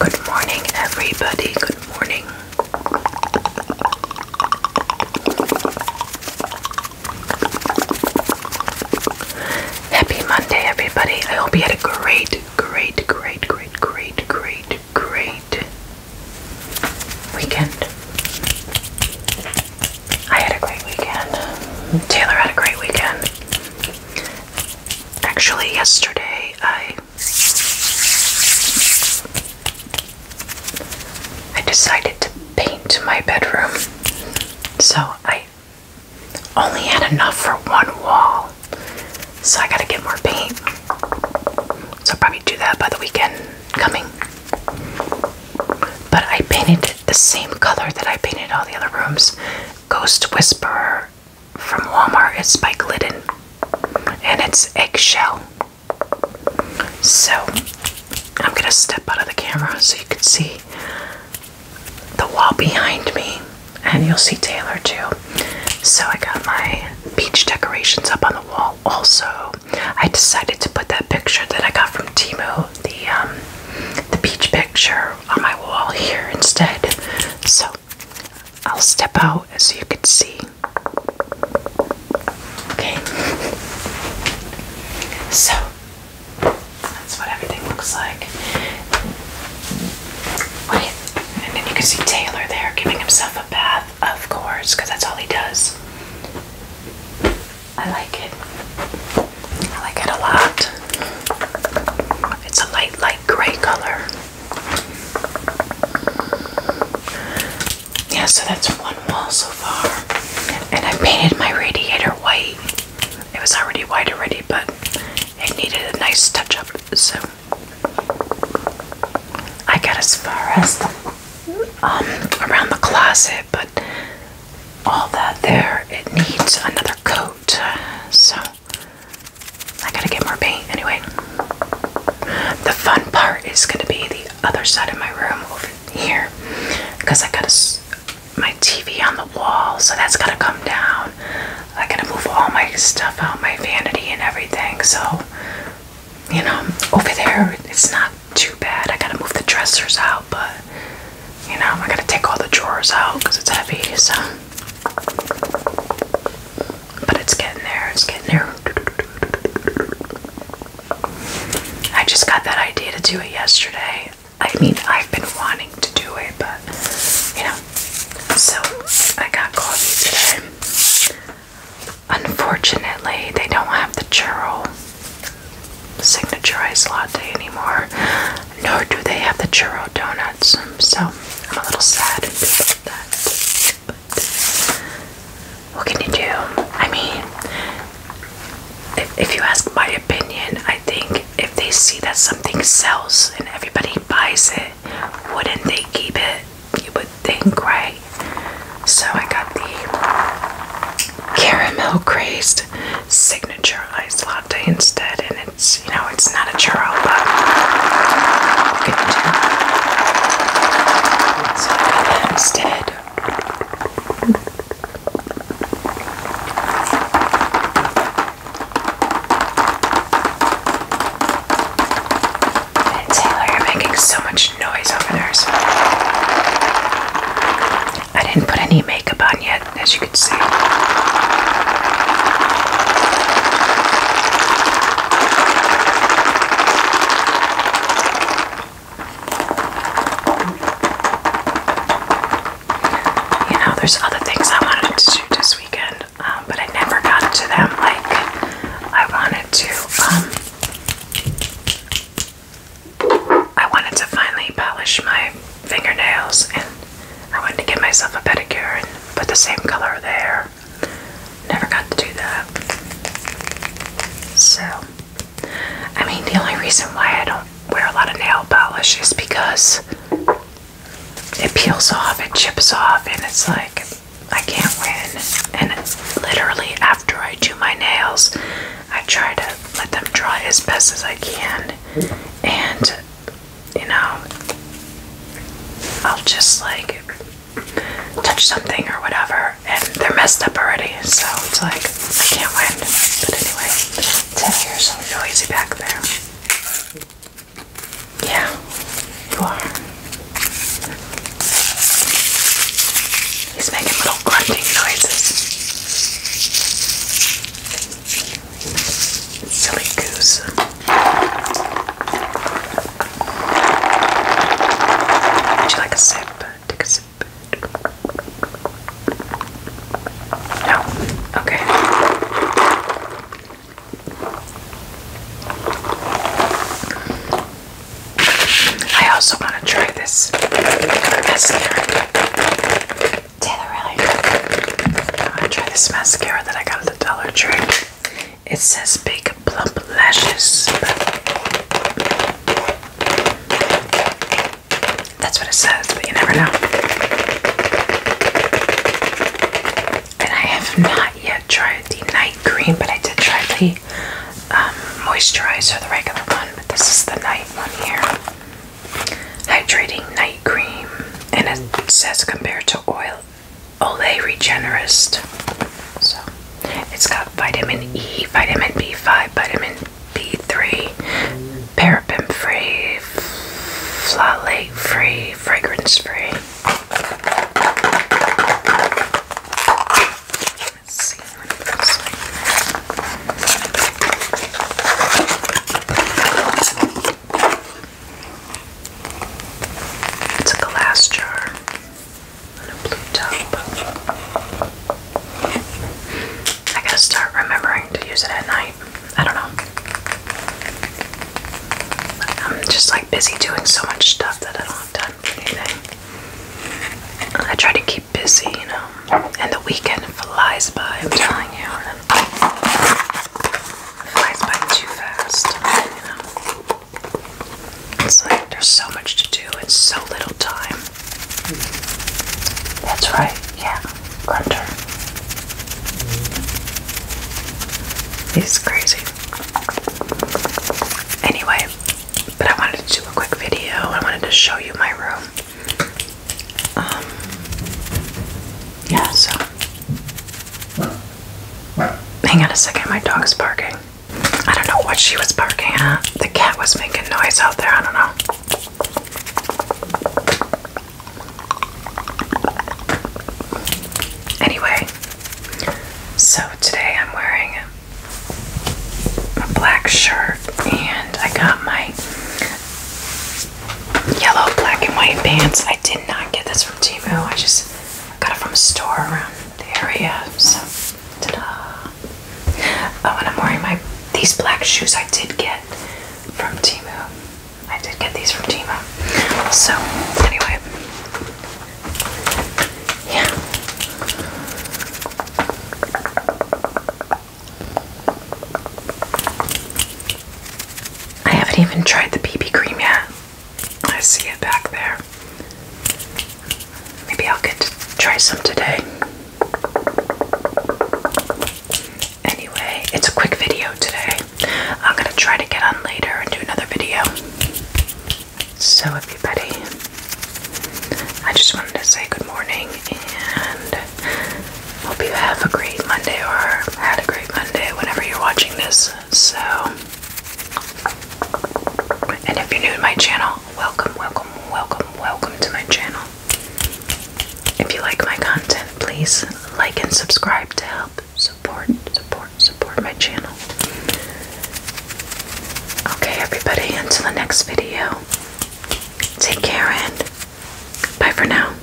Good morning, everybody. Good morning. Happy Monday, everybody. I hope you had a great, great, great, great, great, great, great weekend. I had a great weekend. Taylor had a great weekend. Actually, yesterday I I decided to paint my bedroom. So I only had enough for one wall. So I gotta get more paint. So i probably do that by the weekend coming. But I painted the same color that I painted all the other rooms. Ghost Whisperer from Walmart it's by Glidden and it's eggshell. So I'm gonna step out of the camera so you can see the wall behind me and you'll see Taylor too. So I got my beach decorations up on the wall. Also, I decided to put that picture that I got from Timu, the um the beach picture on my wall here instead. So I'll step out as you can see. Okay. So that's what everything looks like. Wait, and then you can see Taylor there giving himself a bath, of course, because that's all he does. I like it. I like it a lot. It's a light, light gray color. Yeah, so that's one wall so far. And I painted my radiator white. It was already white already, but it needed a nice touch up. So I got as far as the um around the closet, but all that there it needs another coat. So I gotta get more paint anyway. The fun part is gonna be the other side of my room over here because I got a, my TV on the wall, so that's gotta come down. I gotta move all my stuff out, my vanity and everything. So, you know, over there it's not too bad. I gotta move the dressers out, but you know, I gotta take all the drawers out because it's heavy. So. But it's getting there, it's getting there. I just got that idea to do it yesterday. I mean, I've been wanting to do it, but you know. So I got coffee today. Unfortunately, they don't have the churro signature iced latte anymore nor do they have the churro donuts. So I'm a little sad about that. But what can you do? I mean, if, if you ask my opinion, I think if they see that something sells and everybody buys it, wouldn't they keep it? You would think, right? So I got the caramel crazed signature iced latte instead, and it you know, it's not a chore, but I instead. Taylor, you're making so much noise over there. I didn't put any makeup on yet, you know, there's other things I wanted to do this weekend, um, but I never got to them like I wanted to. Um, I wanted to finally polish my fingernails and I wanted to give myself a pedicure and put the same color there. Never got to do that. So, I mean, the only reason why I don't wear a lot of nail polish is because it peels off, it chips off, and it's like I can't win. And literally, after I do my nails, I try to let them dry as best as I can. And you know, I'll just like touch something or whatever, and they're messed up already. So it's like I can't win. But anyway, ten years it's heavier, so easy back there. Yeah, you are. He's making little grunting noises. Silly goose. Would you like a sip? Take a sip. No? Okay. I also want to try this mascara. Ten I tried this mascara that I got at the Dollar Tree. It says big plump lashes, that's what it says, but you never know. And I have not yet tried the night cream, but I did try the um, moisturizer, the regular one, but this is the night one here. Hydrating night cream and it says compared to oil Olay Regenerist. So it's got vitamin E, vitamin B5, vitamin B3, paraben free, flolate free, fragrance free. It's a glass jar on a blue top. I gotta start remembering to use it at night. I don't know. I'm just like busy doing so much stuff that I don't have time for anything. I try to keep busy, you know. And the weekend flies by, I'm telling you flies by too fast. You know? It's like there's so much to do and so little time. That's right, yeah. Grunter. He's crazy. Anyway, but I wanted to do a quick video. I wanted to show you my room. Um, yeah, so Hang on a second, my dog's barking. I don't know what she was barking at. The cat was making noise out there, I don't know. Anyway, so today I'm wearing a black shirt and I got my yellow black and white pants. I did not get this from Timo. I just got it from a store around the area. So, ta-da! Oh, and I'm wearing my these black shoes. I did get from Timo. I did get these from Timo. So, anyway, yeah. I haven't even tried the BB cream yet. I see it back there. Maybe I'll get to try some today. Anyway, it's a quick video today. I'm going to try to get on later and do another video. So, everybody, I just wanted to say good morning and Hope you have a great Monday or had a great Monday whenever you're watching this. So, and if you're new to my channel, welcome, welcome, welcome, welcome to my channel. If you like my content, please like and subscribe to help support, support, support my channel. Okay, everybody, until the next video, take care and bye for now.